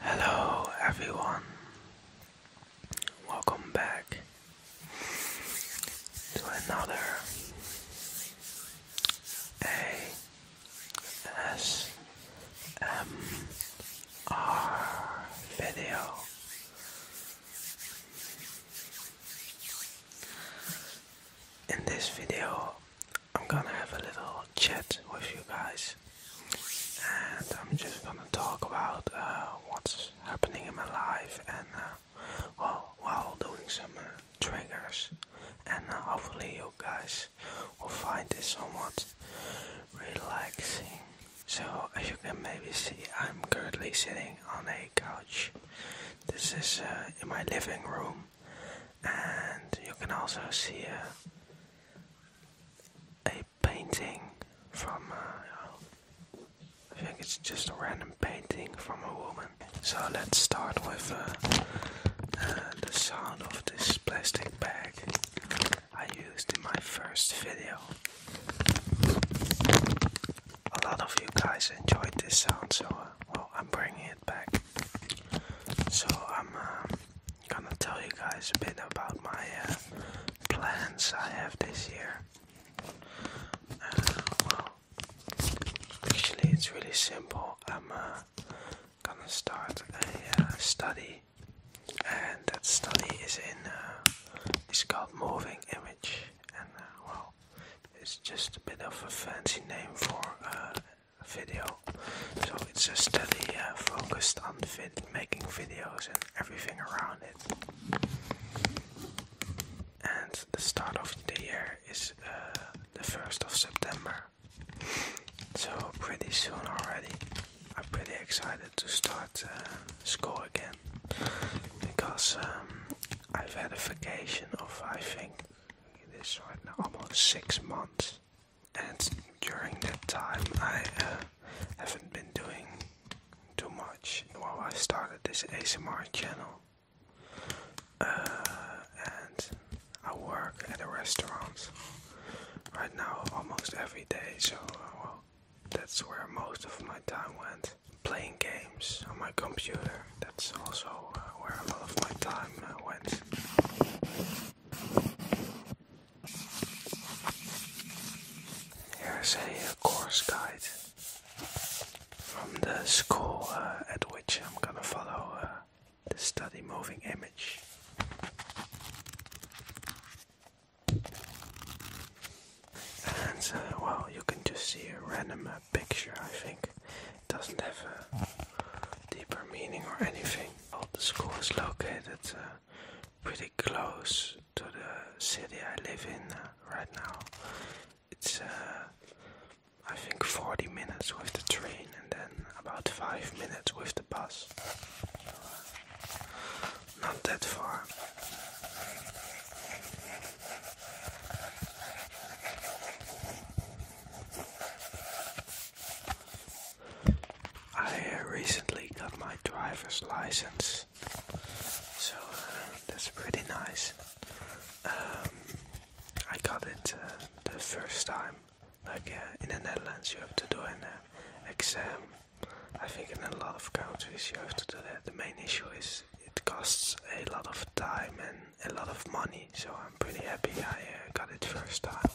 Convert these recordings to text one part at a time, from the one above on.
Hello, everyone. Welcome back to another ASMR video. In this video, I'm gonna have a little chat with you guys, and I'm just gonna talk about uh, what's happening in my life and uh, while doing some uh, triggers, and uh, hopefully you guys will find it somewhat relaxing. So as you can maybe see, I'm currently sitting on a couch. This is in my living room and you can also see a, painting from uh, I think it's just a random painting from a woman. So let's start with uh, uh, the sound of this plastic bag I used in my first video. A lot of you guys enjoyed this sound, so I'm bringing it back. So I'm um, gonna tell you guys a bit about my uh, plans I have this year. Uh, well, actually, it's really simple. I'm uh, gonna start a study, and that study is in it's called Moving Image, and well, it's just a bit of a fancy name for uh, video. So it's a study uh, focused on vid making videos and everything around it. And the start of the year is uh, the 1st of September. So pretty soon already. I'm pretty excited to start uh, school again because um, I've had a vacation of I think this right now, almost six months. And during that time, I uh, haven't been doing too much. Well, I started this ASMR channel, uh, and I work at a restaurant right now almost every day. So, well, that's where most of my time went playing games on my computer. That's also uh, where a lot of my time uh, went. Here's a uh, course guide from the school at which I'm gonna follow the study moving image. And uh, well, you can just see a random picture, I think. It doesn't have a deeper meaning or anything. the school is located uh, pretty close to the city I live in uh, right now. It's uh, I think 40 minutes with the train and then about 5 minutes with the bus. not that far. I recently got my driver's license, so uh, that's pretty nice. Um, I got it uh, the first time, like uh, in the Netherlands, you have to do an exam. I think in a lot of countries you have to do that. The main issue is it costs a lot of time and a lot of money, so I'm pretty happy I uh, got it first time.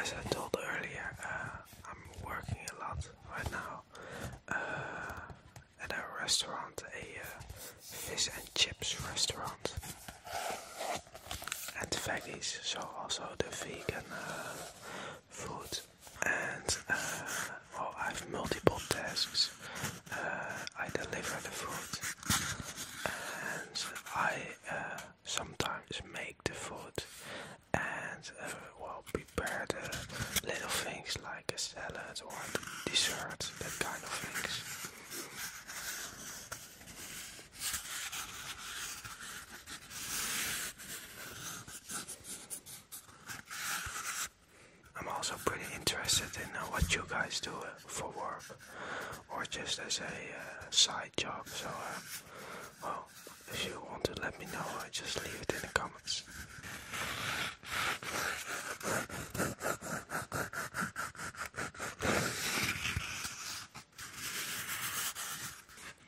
As I told earlier, uh, I'm working a lot right now uh, at a restaurant, a uh, fish and chips restaurant. And veggies, so also the vegan food. And oh, I have multiple tasks. I deliver the food, and I uh, sometimes make the food and uh, well prepare the little things like a salad or dessert, that kind of things. I'm also pretty interested in uh, what you guys do for work or just as a uh, side job. So, um, well, if you want to let me know, just leave it in the comments.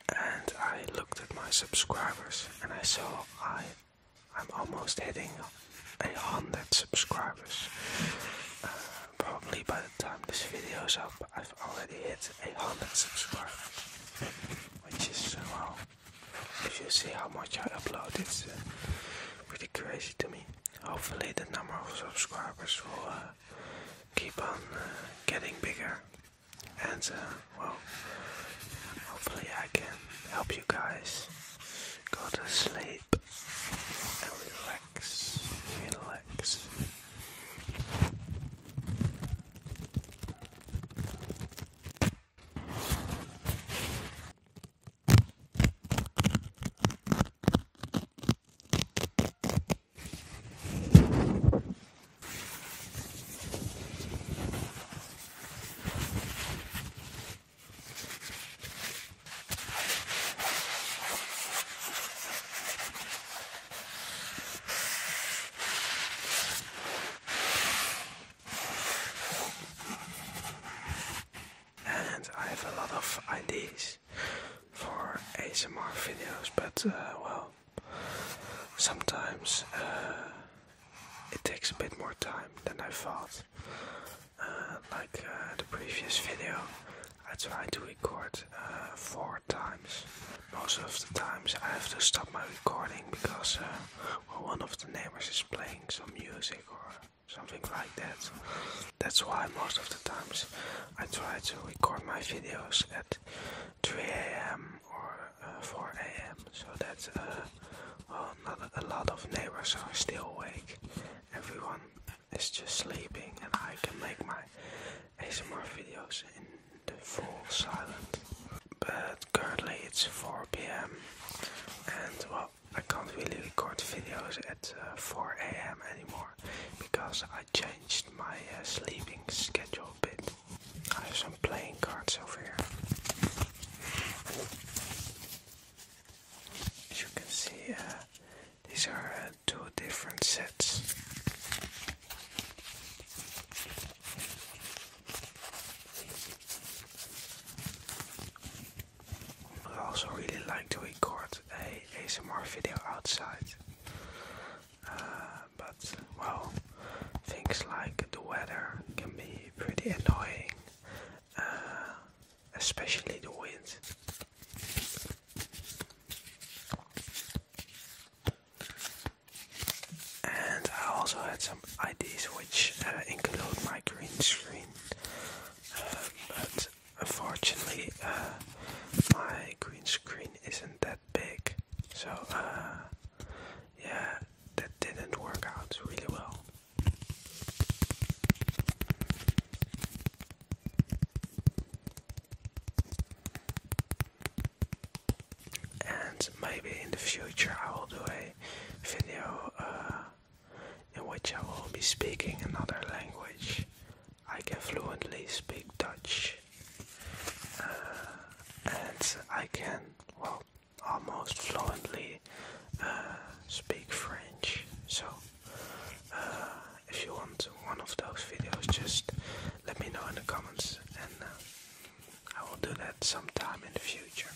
And I looked at my subscribers and I saw I I'm almost hitting a hundred subscribers. Uh, probably by the time this video is up, I've already hit a hundred subscribers, which is uh, wow. If you see how much I upload, it's uh, pretty crazy to me. Hopefully, the number of subscribers will uh, keep on getting bigger, and well, hopefully, I can help you guys go to sleep. Now relax, relax. And I have a lot of ideas for ASMR videos, but uh, well, sometimes uh, it takes a bit more time than I thought. Uh, like uh, the previous video, I try to record uh, four times. Most of the times I have to stop my recording because one of the neighbors is playing some music or something like that. That's why most of the times I try to record my videos at 3 a.m. or uh, 4 a.m. so that uh, not a lot of neighbors are still awake. Everyone is just sleeping, and I can make my ASMR videos in the full silence. But currently it's 4 p.m. and well, I can't really record videos at uh, 4 a.m. anymore because I changed my sleeping schedule a bit. Oh, there's some playing cards over here. As you can see, uh, these are uh, two different sets. I also really like to record a ASMR video outside. Uh, but well, things like the weather can be pretty annoying, uh, especially the wind. And I also had some ideas which uh, include my green screen, uh, but unfortunately, my green screen isn't that big, so, uh, yeah, that didn't work out really well. And maybe in the future I will do a video uh, in which I will be speaking another language. I can fluently speak Dutch and I can well almost fluently uh, speak French. So uh, if you want one of those videos, just let me know in the comments, and uh, I will do that sometime in the future.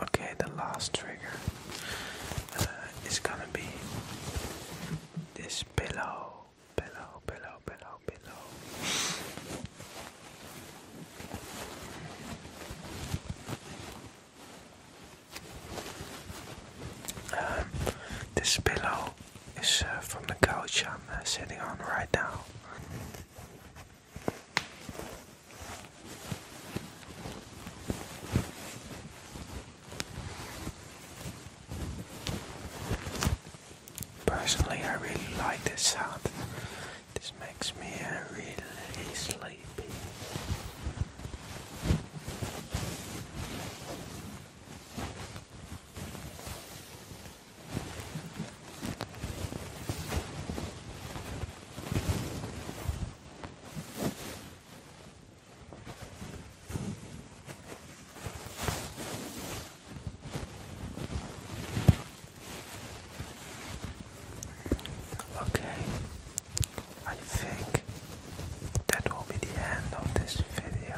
Okay, the last trigger uh, is gonna be this pillow below, below, below, below. Um, this pillow is uh, from the couch I'm sitting on right now. Personally, I really like this sound. This makes me really sleepy. Okay, I think that will be the end of this video.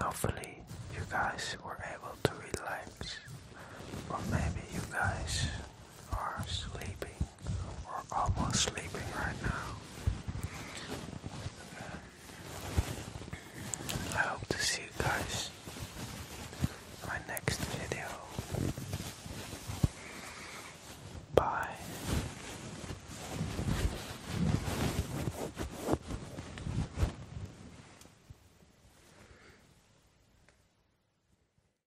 Hopefully, you guys were able to relax, or maybe you guys are sleeping or almost sleeping right now. I hope to see you guys in my next video. Bye.